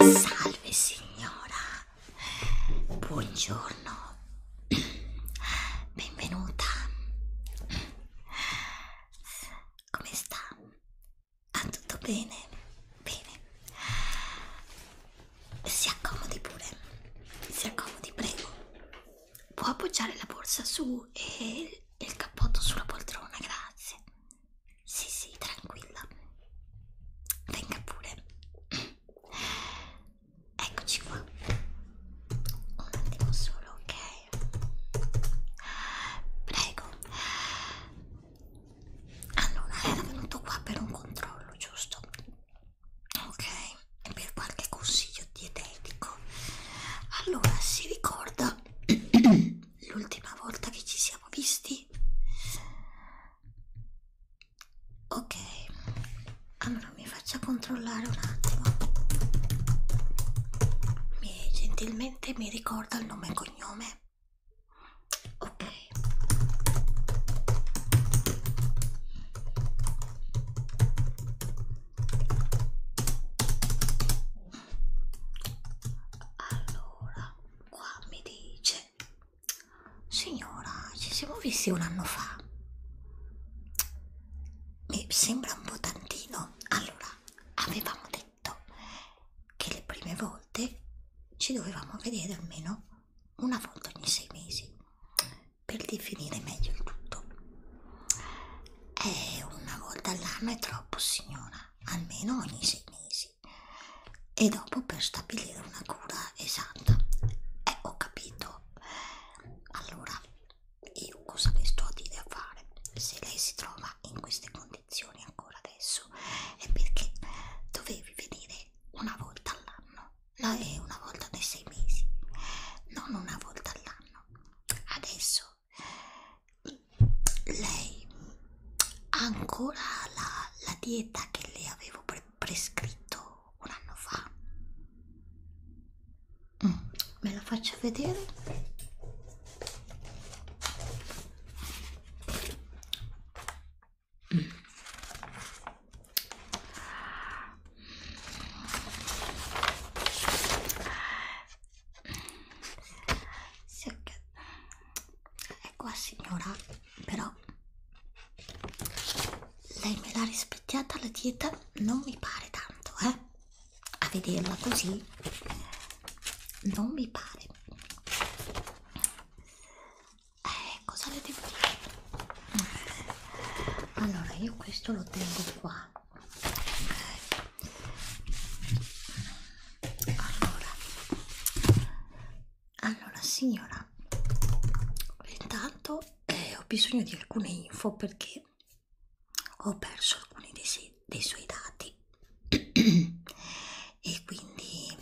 Salve signora, buongiorno, benvenuta. Come sta? Ah, tutto bene? Bene. Si accomodi pure, si accomodi, prego. Può appoggiare la borsa su e il cappotto sulla poltrona, grazie. Sì, sì, tranquilla. Venga pure. Eccoci qua. Un attimo solo, ok? Prego. Allora, era venuto qua per un controllo, giusto? Ok, per qualche consiglio dietetico. Allora, si ricorda l'ultima volta che ci siamo visti? Ok, allora mi faccia controllare un attimo. Mi, gentilmente mi ricorda il nome e cognome. Ok allora qua mi dice signora ci siamo visti un anno fa mi sembra un po' tantino allora avevamo detto che le prime volte ci dovevamo vedere almeno una volta ogni sei mesi per definire meglio il tutto e eh, una volta all'anno è troppo signora almeno ogni sei mesi e dopo per stabilire una cura esatta eh, ho capito allora io cosa vi sto a dire a fare se lei si trova in queste condizioni ancora adesso è perché dovevi venire una volta all'anno no, una volta nei sei mesi non una volta all'anno adesso lei ha ancora la, la dieta che le avevo pre prescritto un anno fa mm, me la faccio vedere mm. Se... è qua signora però lei me l'ha rispecchiata la dieta non mi pare tanto eh a vederla così non mi pare eh, cosa le devo dire allora io questo lo tengo qua allora allora signora intanto eh, ho bisogno di alcune info perché ho perso alcuni dei, dei suoi dati e quindi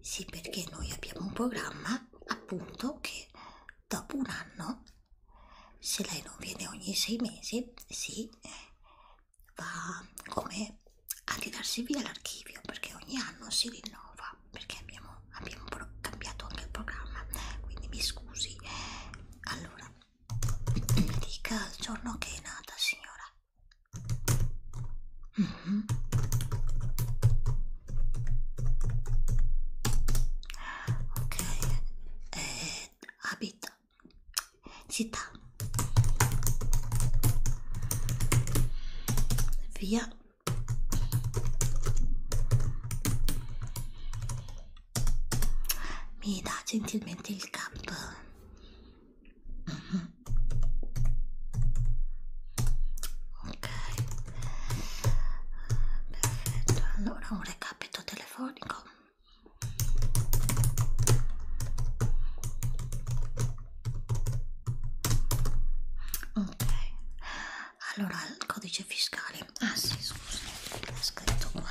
sì perché noi abbiamo un programma appunto che dopo un anno se lei non viene ogni sei mesi sì va come a ridarsi via l'archivio perché ogni anno si rinnova perché abbiamo, abbiamo cambiato anche il programma quindi mi scusi allora mi dica il giorno che è nata signora mm -hmm. ok eh, abita città via mi dà gentilmente il cap mm -hmm. ok perfetto allora un recapito telefonico Ok, allora il codice fiscale. Ah sì, scusa, l'ho scritto qua.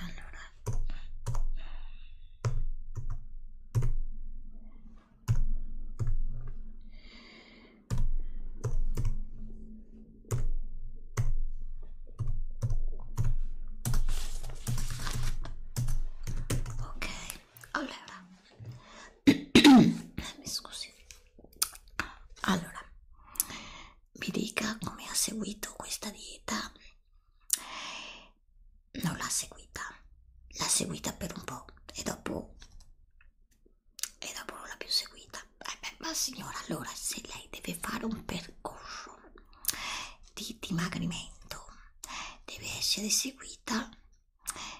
Allora. Ok, allora mi scusi. Allora, mi dica come ha seguito questa dieta. Non l'ha seguita, l'ha seguita per un po' e dopo e dopo non l'ha più seguita. Eh beh, ma signora, allora se lei deve fare un percorso di dimagrimento deve essere seguita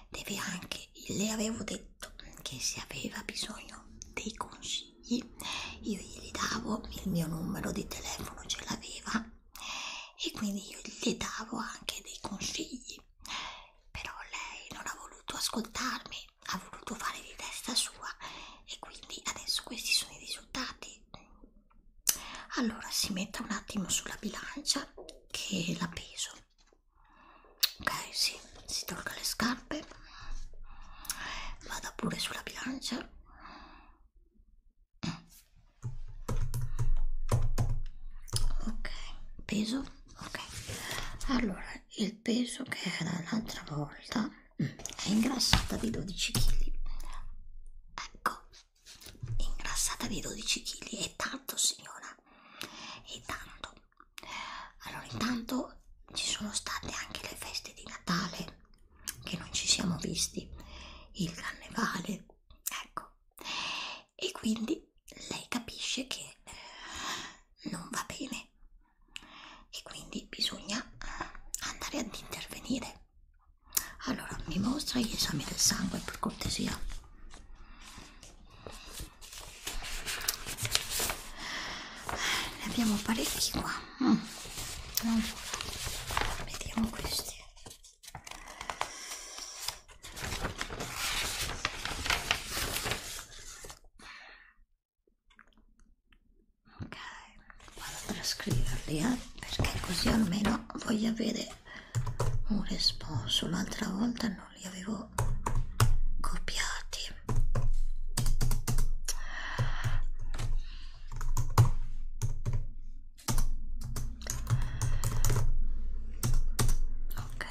deve anche le avevo detto che se aveva bisogno dei consigli io gli davo il mio numero di telefono ce l'aveva e quindi io gli davo anche dei consigli però lei non ha voluto ascoltarmi ha voluto fare di testa sua e quindi adesso questi sono i risultati allora si metta un attimo sulla bilancia che la peso ok si sì. si tolga le scarpe vada pure sulla bilancia ok peso ok allora il peso che era l'altra volta è ingrassata di 12 kg ecco ingrassata di 12 kg è tanto signora è tanto allora intanto ci sono state anche le feste di Natale che non ci siamo visti il carnevale ecco e quindi lei capisce che eh, non va bene e quindi bisogna eh, andare ad intervenire. Allora, mi mostra gli esami del sangue per cortesia. Ne abbiamo parecchi qua. Mm. Mm. Vediamo questi ok vado a trascriverli eh? perché così almeno voglio avere un responso l'altra volta non li avevo copiati ok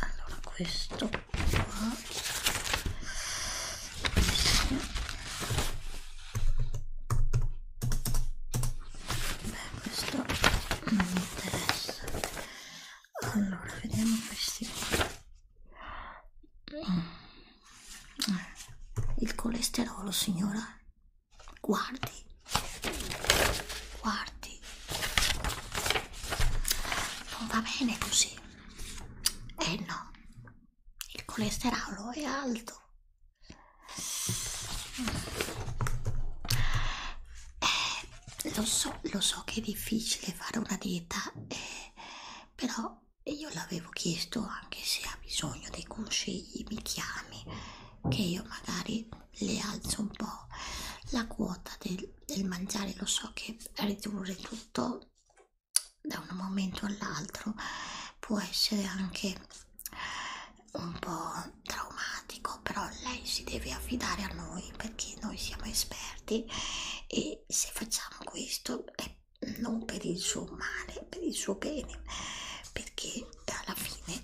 allora questo Beh, questo non mi interessa. Allora, vediamo questi mm. il colesterolo, signora. Guardi, guardi, non va bene così. Eh no, il colesterolo è alto eh, lo so lo so che è difficile fare una dieta eh, però io l'avevo chiesto anche se ha bisogno dei consigli mi chiami che io magari le alzo un po' la quota del, del mangiare lo so che ridurre tutto da un momento all'altro può essere anche un po' traumatico, però lei si deve affidare a noi perché noi siamo esperti e se facciamo questo è non per il suo male, per il suo bene, perché alla fine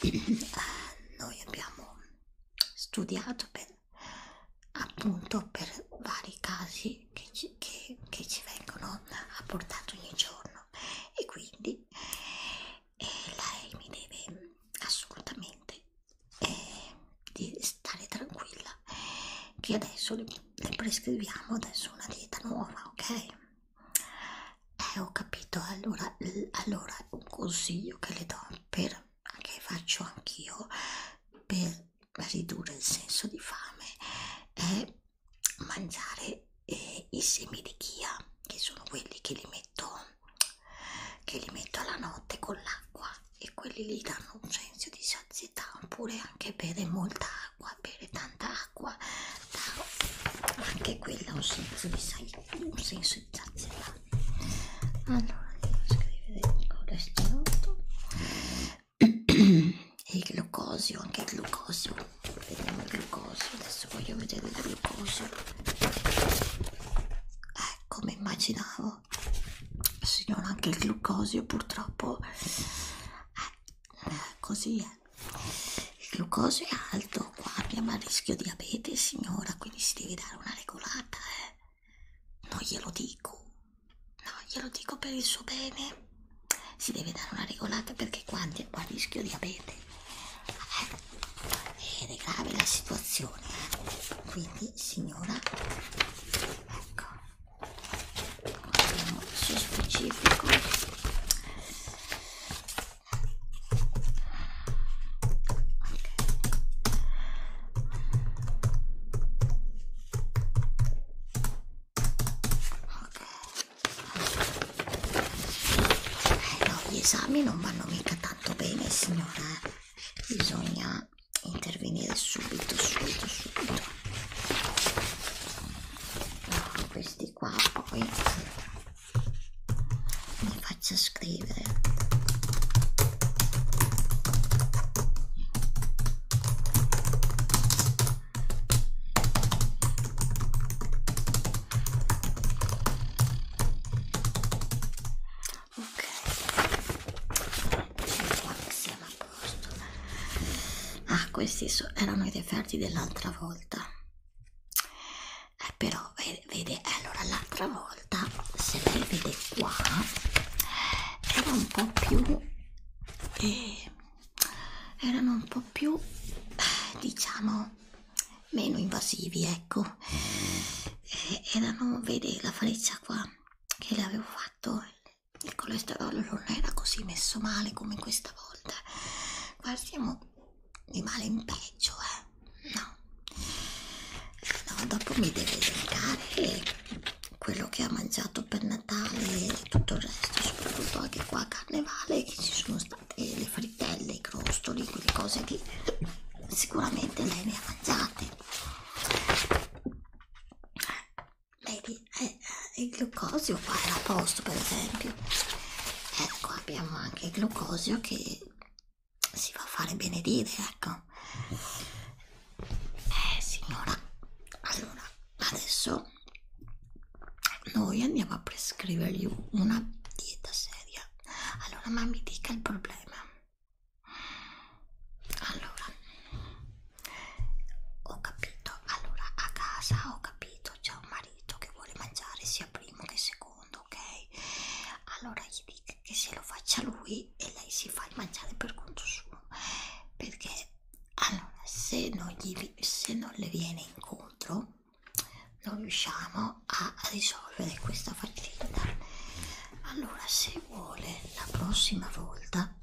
eh, noi abbiamo studiato per appunto per vari casi che ci, che, che ci vengono apportati ogni giorno e quindi eh, lei mi deve assolutamente eh, di stare tranquilla che adesso le, le prescriviamo adesso una dieta nuova ok eh, ho capito, allora, allora un consiglio che le do per, che faccio anch'io per ridurre il senso di fame è mangiare eh, i semi di chia che sono quelli che li metto che li metto alla notte con l'acqua e quelli lì danno un senso di sazietà oppure anche bere molta acqua bere tanta acqua da, anche quella ha un senso di, un senso di sazietà allora devo scrivere colesterolo e il glucosio anche il glucosio vediamo il glucosio adesso voglio vedere il glucosio eh, come immaginavo signora anche il glucosio purtroppo eh, eh, così è il glucosio è alto qua abbiamo a rischio diabete signora quindi si deve dare una regolata eh non glielo dico no glielo dico per il suo bene si deve dare una regolata perché quanti qua rischio diabete eh, ed è grave la situazione eh. quindi signora ecco andiamo su specifico Okay. Eh no, gli esami non vanno mica tanto bene, signora. Eh. Bisogna intervenire subito, subito, subito. No, questi qua poi mi faccio scrivere. Ok, siamo a posto. Ah, questi so, erano i referti dell'altra volta. Eh, però, vede, vede allora l'altra volta, se lei vede qua era un po' più eh, erano un po' più eh, diciamo meno invasivi ecco eh, erano vedi la freccia qua che le avevo fatto il colesterolo non era così messo male come questa volta qua siamo di male in peggio eh no, no dopo mi deve elencare quello che ha mangiato per Natale e tutto il resto, soprattutto anche qua a Carnevale che ci sono state le frittelle, i crostoli, quelle cose che sicuramente lei ne ha mangiate. Vedi, eh, eh il glucosio qua era a posto per esempio. Eh, ecco, qua abbiamo anche il glucosio che si fa fare benedire, ecco. Eh signora, allora adesso noi andiamo a prescrivergli una dieta seria. Allora ma mi dica il problema. Allora, ho capito, allora a casa ho capito, c'è un marito che vuole mangiare sia primo che secondo, ok? Allora gli dico che se lo faccia lui e lei si fa mangiare per conto suo perché allora se non, gli, se non le viene incontro non riusciamo a risolvere questa faccenda allora se vuole la prossima volta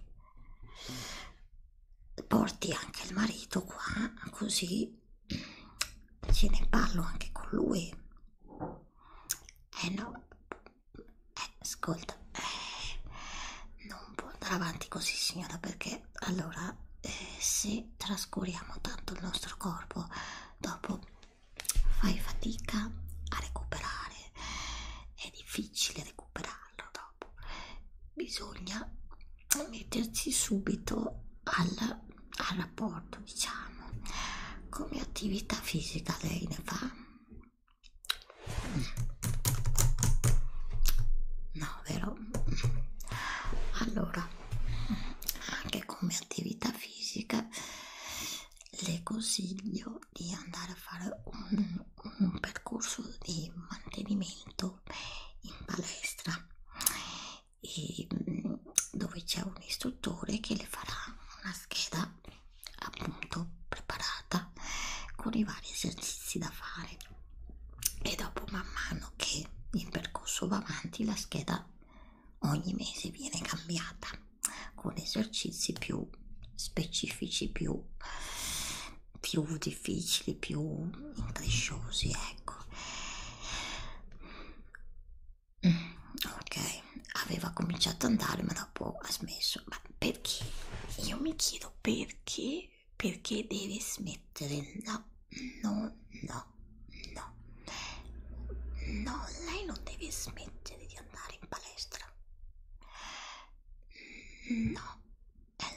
porti anche il marito qua così ce ne parlo anche con lui eh no ascolta, eh, non può andare avanti così signora perché allora eh, se trascuriamo tanto il nostro corpo dopo fai fatica a recuperare, è difficile recuperarlo dopo, bisogna metterci subito al, al rapporto diciamo come attività fisica lei ne fa No, vero? Allora, anche come attività fisica le consiglio di andare a fare un, un percorso di mantenimento in palestra e ehm, dove c'è un istruttore che le farà una scheda appunto preparata con i vari esercizi da fare e dopo man mano che il percorso va avanti la scheda ogni mese viene cambiata con esercizi più specifici più, più difficili più incresciosi ecco mm, ok aveva cominciato ad andare ma da dopo ha smesso. Ma perché? Io mi chiedo perché, perché deve smettere? No, no, no, no. No, lei non deve smettere di andare in palestra. No.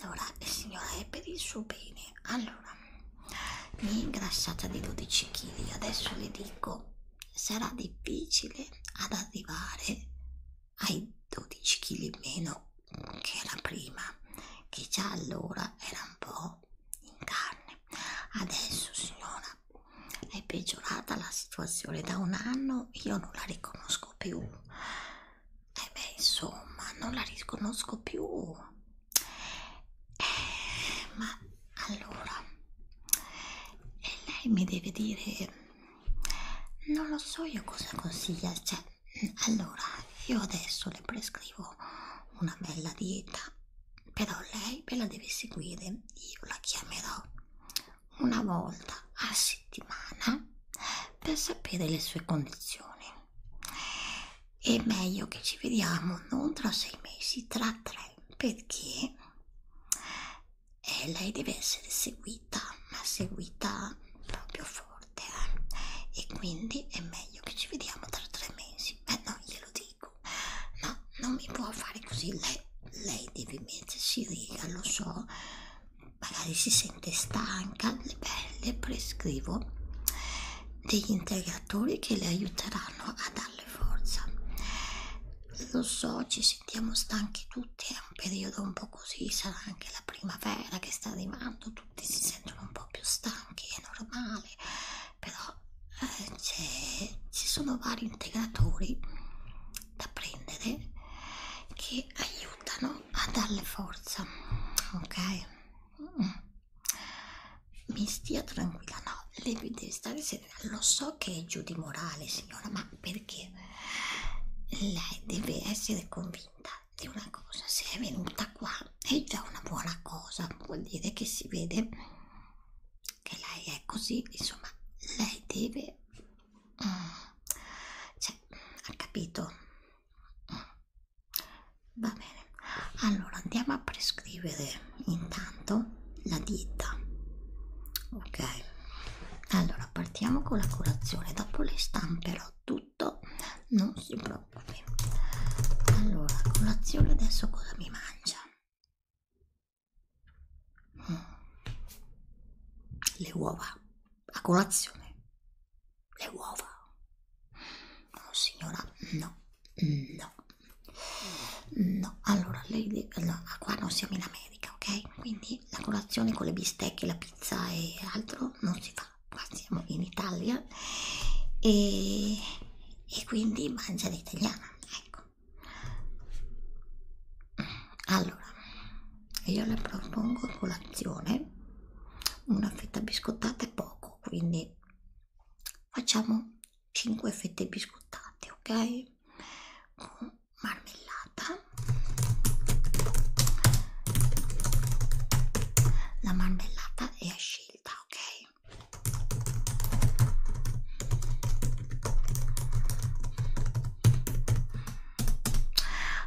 Allora, signora, è per il suo bene. Allora, mi è ingrassata di 12 kg. Adesso le dico sarà difficile ad arrivare ai 12 kg in meno che era prima, che già allora era un po' in carne. Adesso, signora, è peggiorata la situazione da un anno, io non la riconosco più. E eh beh, insomma, non la riconosco più. Eh, ma allora, lei mi deve dire non lo so io cosa consiglia cioè allora io adesso le prescrivo una bella dieta però lei me la deve seguire io la chiamerò una volta a settimana per sapere le sue condizioni è meglio che ci vediamo non tra sei mesi tra tre perché e lei deve essere seguita, ma seguita proprio forte eh? e quindi è meglio che ci vediamo tra tre mesi. Eh no, glielo dico, no, non mi può fare così. Lei, lei deve mettersi riga, lo so, magari si sente stanca. Beh, le prescrivo degli integratori che le aiuteranno a darle forza. Lo so, ci sentiamo stanchi tutti, è un periodo un po' così, sarà anche la primavera che sta arrivando, tutti si sentono un po' più stanchi, è normale, però eh, ci sono vari integratori da prendere che aiutano a darle forza, ok? Mm. Mi stia tranquilla, no, lei deve stare lo so che è giù di morale signora ma perché lei deve essere convinta di una cosa se è venuta qua è già una buona cosa vuol dire che si vede che lei è così insomma lei deve mm, cioè ha capito mm. va bene allora andiamo a prescrivere intanto la dieta ok allora partiamo con la colazione dopo le stamperò tutto non si preoccupi allora colazione adesso cosa mi mangia mm. le uova a colazione le uova oh signora no no no allora lei no, qua non siamo in America dieta ok? Quindi la colazione con le bistecche, la pizza e altro non si fa, qua siamo in Italia e, e quindi mangia l'italiana, ecco. Allora, io le propongo colazione, una fetta biscottata è poco, quindi facciamo 5 fette biscottate, ok? o marmellata la marmellata è a scelta ok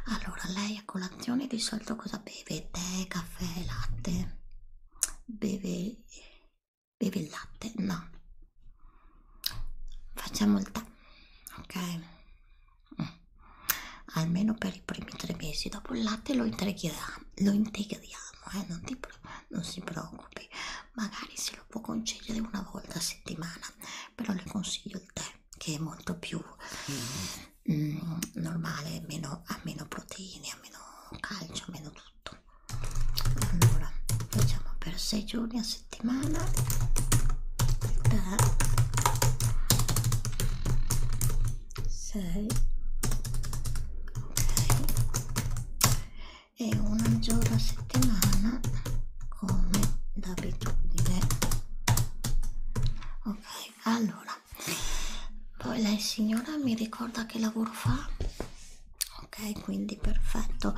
allora lei a colazione di solito cosa beve tè caffè latte beve beve il latte no facciamo il tè ok mm. almeno per i primi tre mesi dopo il latte lo integriamo lo integriamo eh? non, ti non si preoccupi magari se lo può concedere una volta a settimana però le consiglio il tè che è molto più mm. Mm, normale meno, ha meno proteine ha meno calcio ha meno tutto allora facciamo per sei giorni a settimana settimana da 6 ok e una giorno a settimana come d'abitudine ok allora poi lei signora mi ricorda che lavoro fa ok quindi perfetto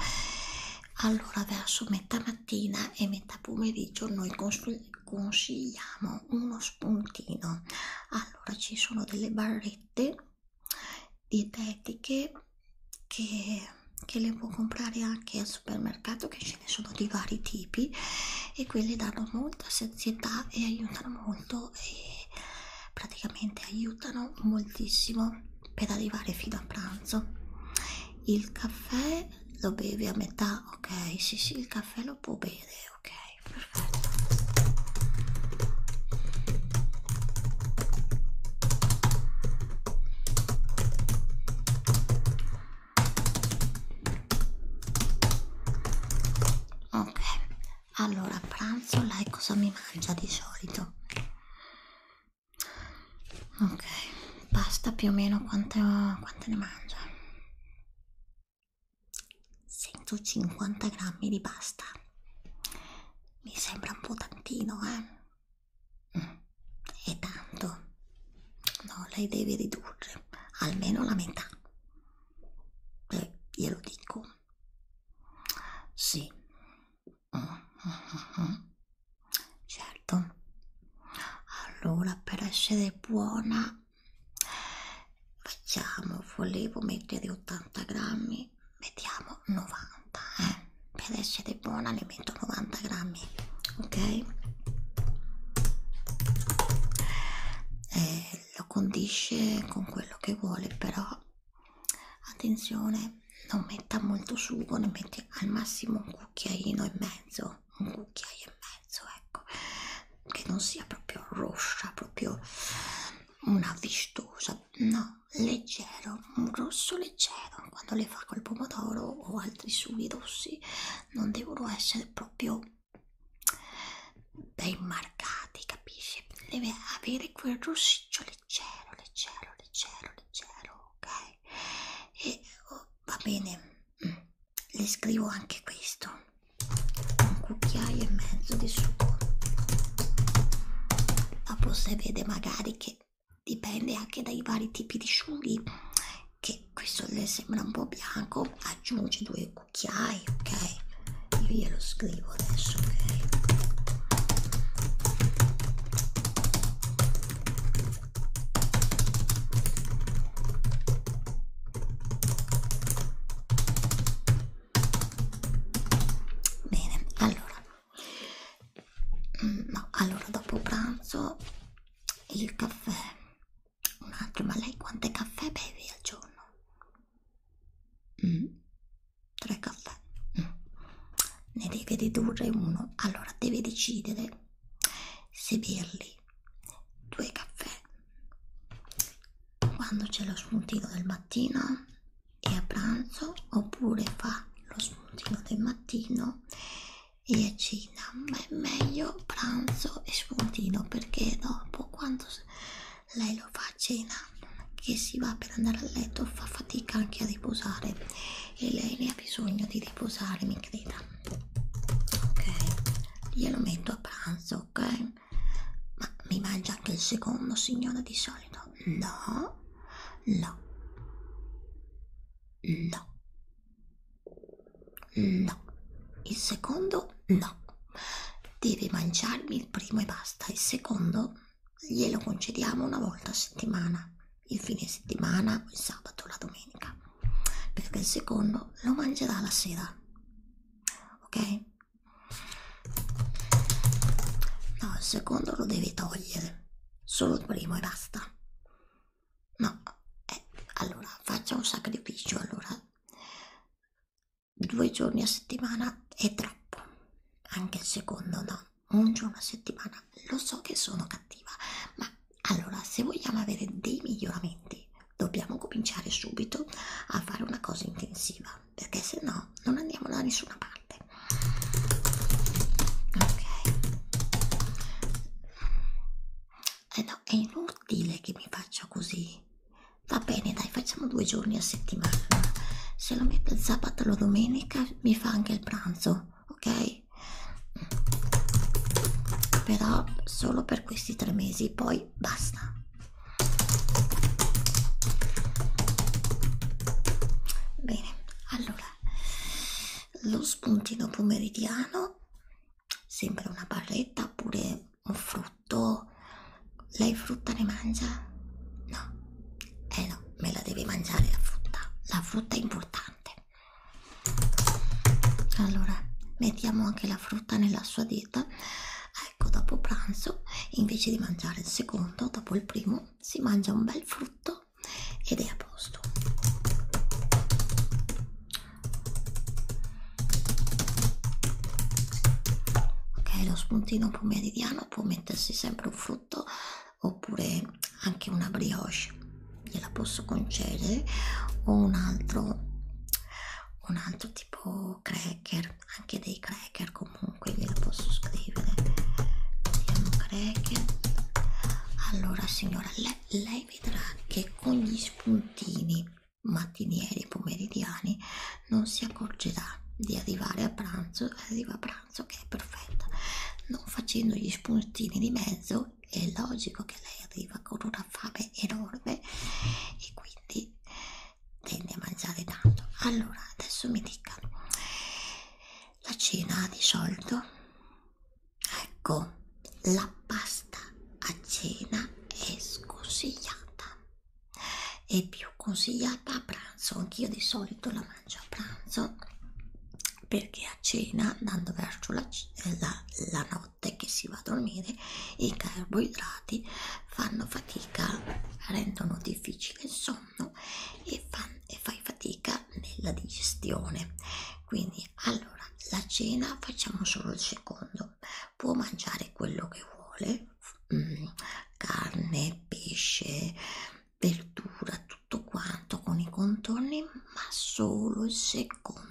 allora verso metà mattina e metà pomeriggio noi consigliamo uno spuntino allora ci sono delle barrette dietetiche che, che le può comprare anche al supermercato che ce ne sono di vari tipi e quelle danno molta sazietà e aiutano molto e praticamente aiutano moltissimo per arrivare fino a pranzo il caffè lo bevi a metà ok sì sì il caffè lo può bere ok perfetto ok allora a pranzo lei cosa mi mangia di solito Ok, basta più o meno quante, quante ne mangia. 150 grammi di pasta. Mi sembra un po' tantino, eh? E mm. tanto. No, lei deve ridurre almeno la metà. Eh, glielo dico. Sì, certo allora per essere buona facciamo volevo mettere 80 grammi mettiamo 90 eh? per essere buona ne metto 90 grammi ok eh, lo condisce con quello che vuole però attenzione non metta molto sugo ne metti al massimo un cucchiaino e mezzo un cucchiaio e mezzo ecco che non sia proprio rossa proprio una vistosa no leggero un rosso leggero quando le fa col pomodoro o altri sughi rossi non devono essere proprio ben marcati capisci deve avere quel rossiccio leggero, leggero, leggero, leggero, ok? E oh, va bene, mm. le scrivo anche questo, un cucchiaio e mezzo di sugo. Dopo se vede magari che dipende anche dai vari tipi di sughi, che questo le sembra un po' bianco, aggiungi due cucchiai, ok? Io glielo scrivo adesso, ok? Bene, allora, mm, no, allora dopo pranzo il caffè, un altro, ma lei quante caffè bevi al giorno? Mm tre caffè ne deve ridurre uno allora deve decidere se berli due caffè quando c'è lo spuntino del mattino e a pranzo oppure fa lo spuntino del mattino e a cena ma è meglio pranzo e spuntino perché dopo quando lei lo fa a cena che si va per andare a letto fa fatica anche a riposare e lei ne ha bisogno di riposare, mi creda. Ok, glielo metto a pranzo, ok? Ma mi mangia anche il secondo, signora, di solito? No, no, no, no. Il secondo, no. Devi mangiarmi il primo e basta. Il secondo, glielo concediamo una volta a settimana, il fine settimana, il sabato, la domenica, perché il secondo lo mangerà la sera. Ok? No, il secondo lo devi togliere, solo il primo e basta. No, eh, allora faccia un sacrificio, allora due giorni a settimana è troppo, anche il secondo no mangio una settimana, lo so che sono cattiva, ma allora se vogliamo avere dei miglioramenti dobbiamo cominciare subito a fare una cosa intensiva, perché se no non andiamo da nessuna parte. Ok, eh no, è inutile che mi faccia così. Va bene, dai, facciamo due giorni a settimana. Se lo metto il sabato o la domenica mi fa anche il pranzo ok? Però solo per questi tre mesi, poi basta. Bene, allora lo spuntino pomeridiano, sempre una barretta oppure un frutto. Lei frutta ne mangia? No. Eh no, me la devi mangiare la frutta, la frutta è importante. Allora, mettiamo anche la frutta nella sua dieta. Ecco, dopo pranzo, invece di mangiare il secondo, dopo il primo, si mangia un bel frutto ed è a posto. Ok, lo spuntino pomeridiano può mettersi sempre un frutto oppure anche una brioche gliela posso concedere o un altro un altro tipo cracker anche dei cracker comunque gliela posso scrivere vediamo cracker allora signora lei, lei vedrà che con gli spuntini mattinieri e pomeridiani non si accorgerà di arrivare a pranzo arriva a pranzo pranzo che è perfetta non facendo gli spuntini di mezzo è logico che lei arriva con una fame enorme e quindi tende a mangiare tanto allora adesso mi dica la cena di solito ecco la pasta a cena è sconsigliata è più consigliata a pranzo anch'io di solito la mangio a pranzo perché a cena andando verso la, eh, la, la notte che si va a dormire i carboidrati fanno fatica rendono difficile il sonno e, fan, e fai fatica nella digestione quindi allora la cena facciamo solo il secondo può mangiare quello che vuole mh, mm, carne pesce verdura, tutto quanto con i contorni, ma solo il secondo.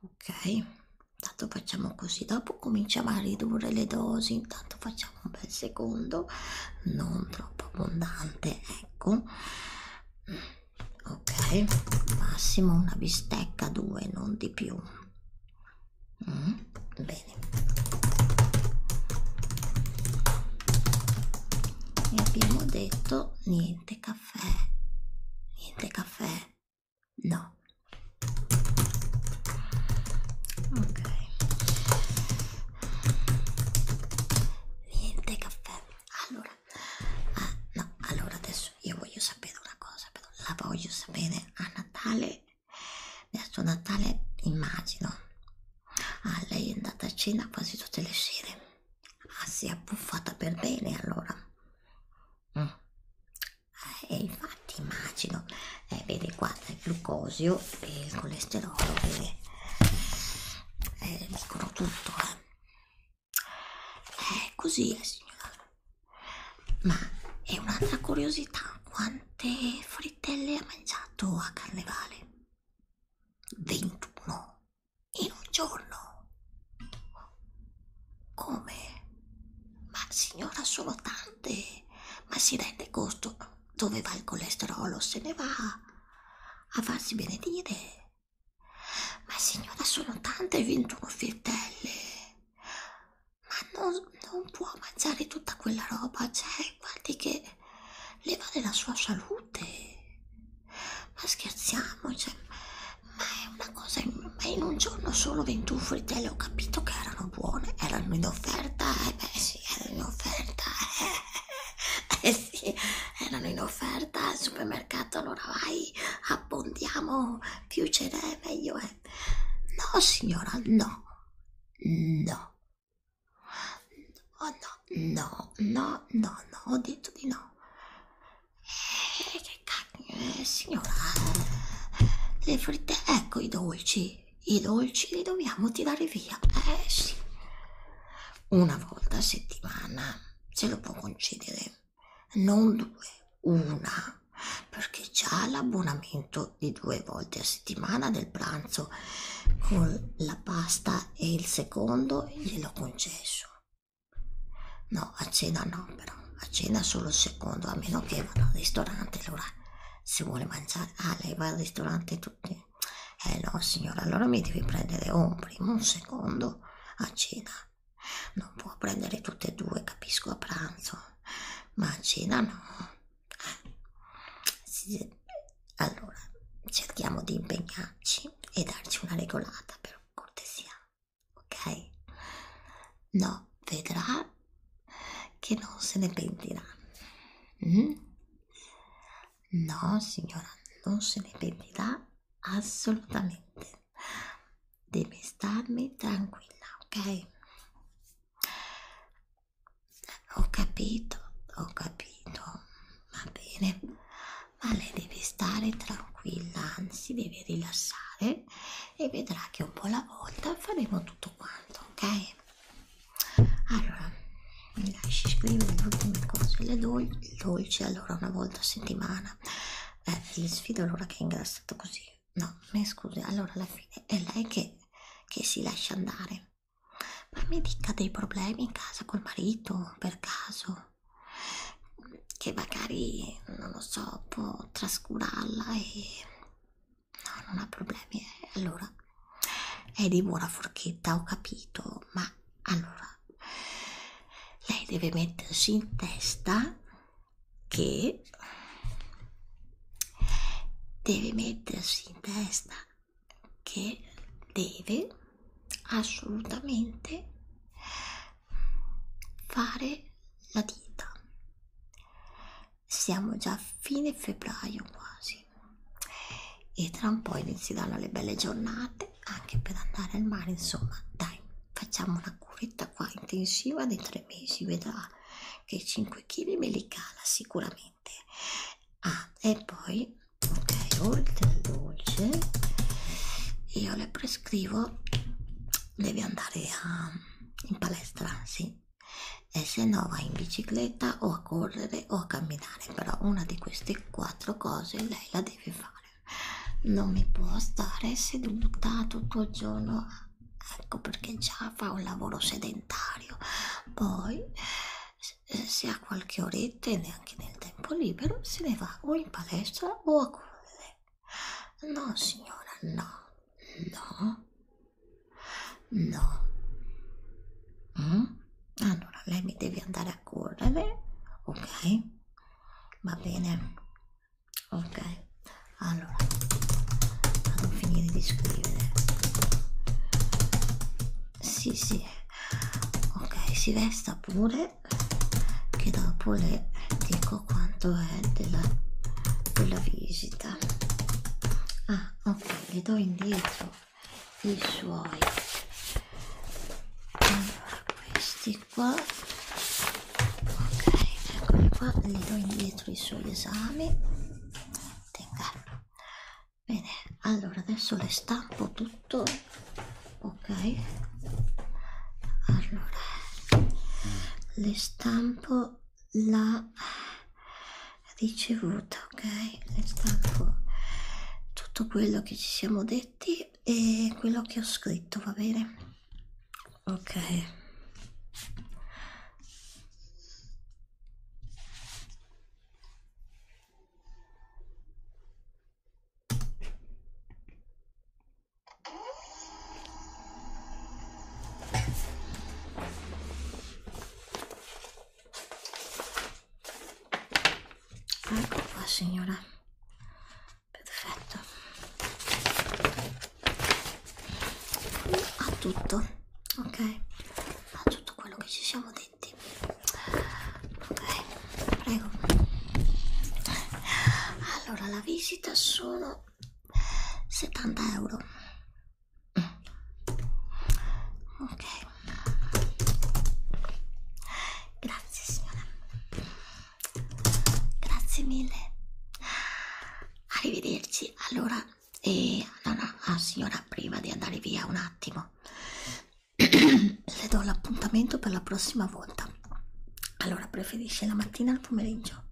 Ok, intanto facciamo così, dopo cominciamo a ridurre le dosi, intanto facciamo un bel secondo, non troppo abbondante, ecco. Ok, massimo una bistecca, due, non di più. Mm, bene, bene e abbiamo detto niente caffè niente caffè no ok niente caffè allora ah, no allora adesso io voglio sapere una cosa però la voglio sapere a Natale adesso Natale immagino Ah, lei è andata a cena quasi tutte le sere. Ah, si è abbuffata per bene allora. Mm. E eh, infatti immagino, eh, vedi qua il glucosio e il colesterolo che eh, dicono tutto. Eh. Eh, così è, eh, signora. Ma è un'altra curiosità, quante frittelle ha mangiato a carnevale? 21 in un giorno. Come? Ma signora, sono tante. Ma si rende conto dove va il colesterolo? Se ne va a farsi benedire. Ma signora, sono tante 21 frittelle. Ma non, non può mangiare tutta quella roba, cioè e guardi che le vale la sua salute. Ma scherziamo, cioè, ma è una cosa, in, ma in un giorno solo 21 frittelle ho capito che erano buone, erano in offerta, eh beh sì, erano in offerta, eh, eh sì, erano in offerta al supermercato, allora vai, abbondiamo, più ce n'è meglio è. No signora, no, no, Oh no, no, no, no, no, ho detto di no. Eh, che cacchio, eh, signora. Le fritte, ecco i dolci. I dolci li dobbiamo tirare via. Eh sì. Una volta a settimana se lo può concedere. Non due, una. Perché già l'abbonamento di mangiarli due volte a settimana del pranzo con la pasta e il secondo gliel'ho concesso no a cena no però a cena solo il secondo a meno che vada al ristorante allora se vuole mangiare ah lei va al ristorante tutti eh no signora allora mi devi prendere un primo un secondo a cena non può prendere tutte e due capisco a pranzo ma a cena no allora, cerchiamo di impegnarci e darci una regolata per cortesia, ok? No, vedrà che non se ne pentirà. Mm? No, signora, non se ne pentirà assolutamente. Deve starmi tranquilla, ok? Ho capito, ho capito, va bene, ma lei deve stare tranquilla, anzi deve rilassare e vedrà che un po' alla volta faremo tutto quanto, ok? Allora, mi lasci scrivere le ultime cose, le dol dolci allora una volta a settimana, eh, gli sfido allora che è ingrassato così, no, mi scusi, allora alla fine è lei che, che si lascia andare. Ma mi dica dei problemi in casa col marito, per caso, che magari, non lo so, può trascurarla e... No, non ha problemi. Allora, è di buona forchetta, ho capito, ma allora... Lei deve mettersi in testa che deve mettersi in testa che deve assolutamente fare la dieta siamo già a fine febbraio quasi e tra un po' inizieranno le belle giornate anche per andare al mare insomma dai facciamo una curetta qua intensiva dei tre mesi vedrà che 5 kg me li cala sicuramente niente ah e poi ok oltre al dolce io le prescrivo devi andare a, in palestra sì e se no vai in bicicletta o a correre o a camminare però una di queste quattro cose lei la deve fare non mi può stare seduta tutto il giorno ecco perché già fa un lavoro sedentario poi eh, se ha qualche oretta e neanche nel tempo libero se ne va o in palestra o a correre no signora no no no mm? allora lei mi deve andare a correre ok va bene ok allora vado a finire di scrivere sì sì ok si resta pure che dopo le dico quanto è della, della visita ah ok le do indietro i suoi allora questi qua ok eccoli qua le do indietro i suoi esami Tenga bene allora adesso le stampo tutto ok allora le stampo la ricevuta ok le stampo tutto quello che ci siamo detti e quello che ho scritto va bene ok Ecco qua signora, perfetto, ha tutto ok fa tutto quello che ci siamo detti ok prego allora la visita sono 70 euro ok grazie signora grazie mille arrivederci allora e alla, alla ah, signora prima di andare via un attimo le do l'appuntamento per la prossima volta allora preferisce la mattina al pomeriggio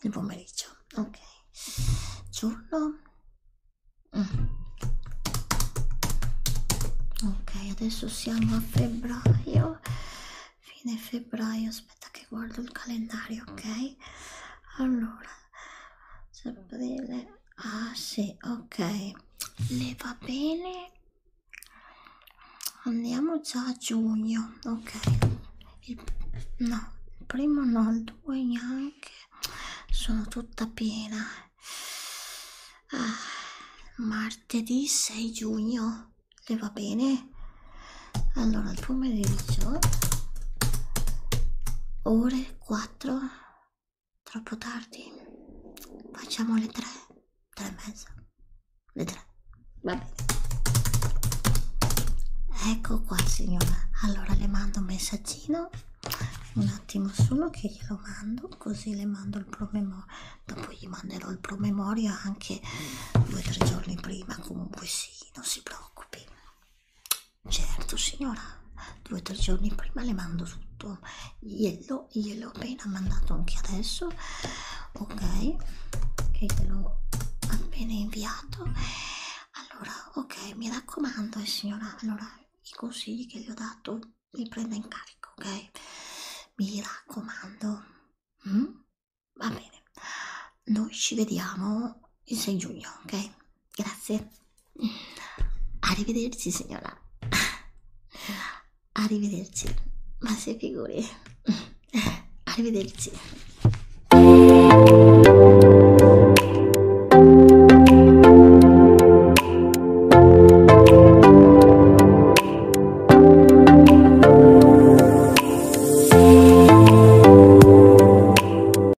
il pomeriggio ok giorno mm. ok adesso siamo a febbraio fine febbraio aspetta che guardo il calendario ok allora aprile Ah sì, ok. Le va bene. Andiamo già a giugno, ok. Il, no, il primo no, il due neanche. Sono tutta piena. Ah, martedì 6 giugno. Le va bene? Allora, il pomeriggio ore 4 Troppo tardi. Facciamo le tre. Tre e mezza. Le tre. Va bene. Ecco qua signora. Allora le mando un messaggino. Un attimo solo che glielo mando. Così le mando il promemoria. Dopo gli manderò il promemoria anche due o tre giorni prima. Comunque sì, non si preoccupi. Certo signora, due o tre giorni prima le mando tutto, glielo, glielo ho appena mandato anche adesso, ok, che gliel'ho appena inviato, allora ok, mi raccomando eh, signora, allora i consigli che le ho dato li prenda in carico, ok, mi raccomando, mm? va bene, noi ci vediamo il 6 giugno, ok? Grazie. Arrivederci signora. Arrivederci. Ma si figuri. Arrivederci.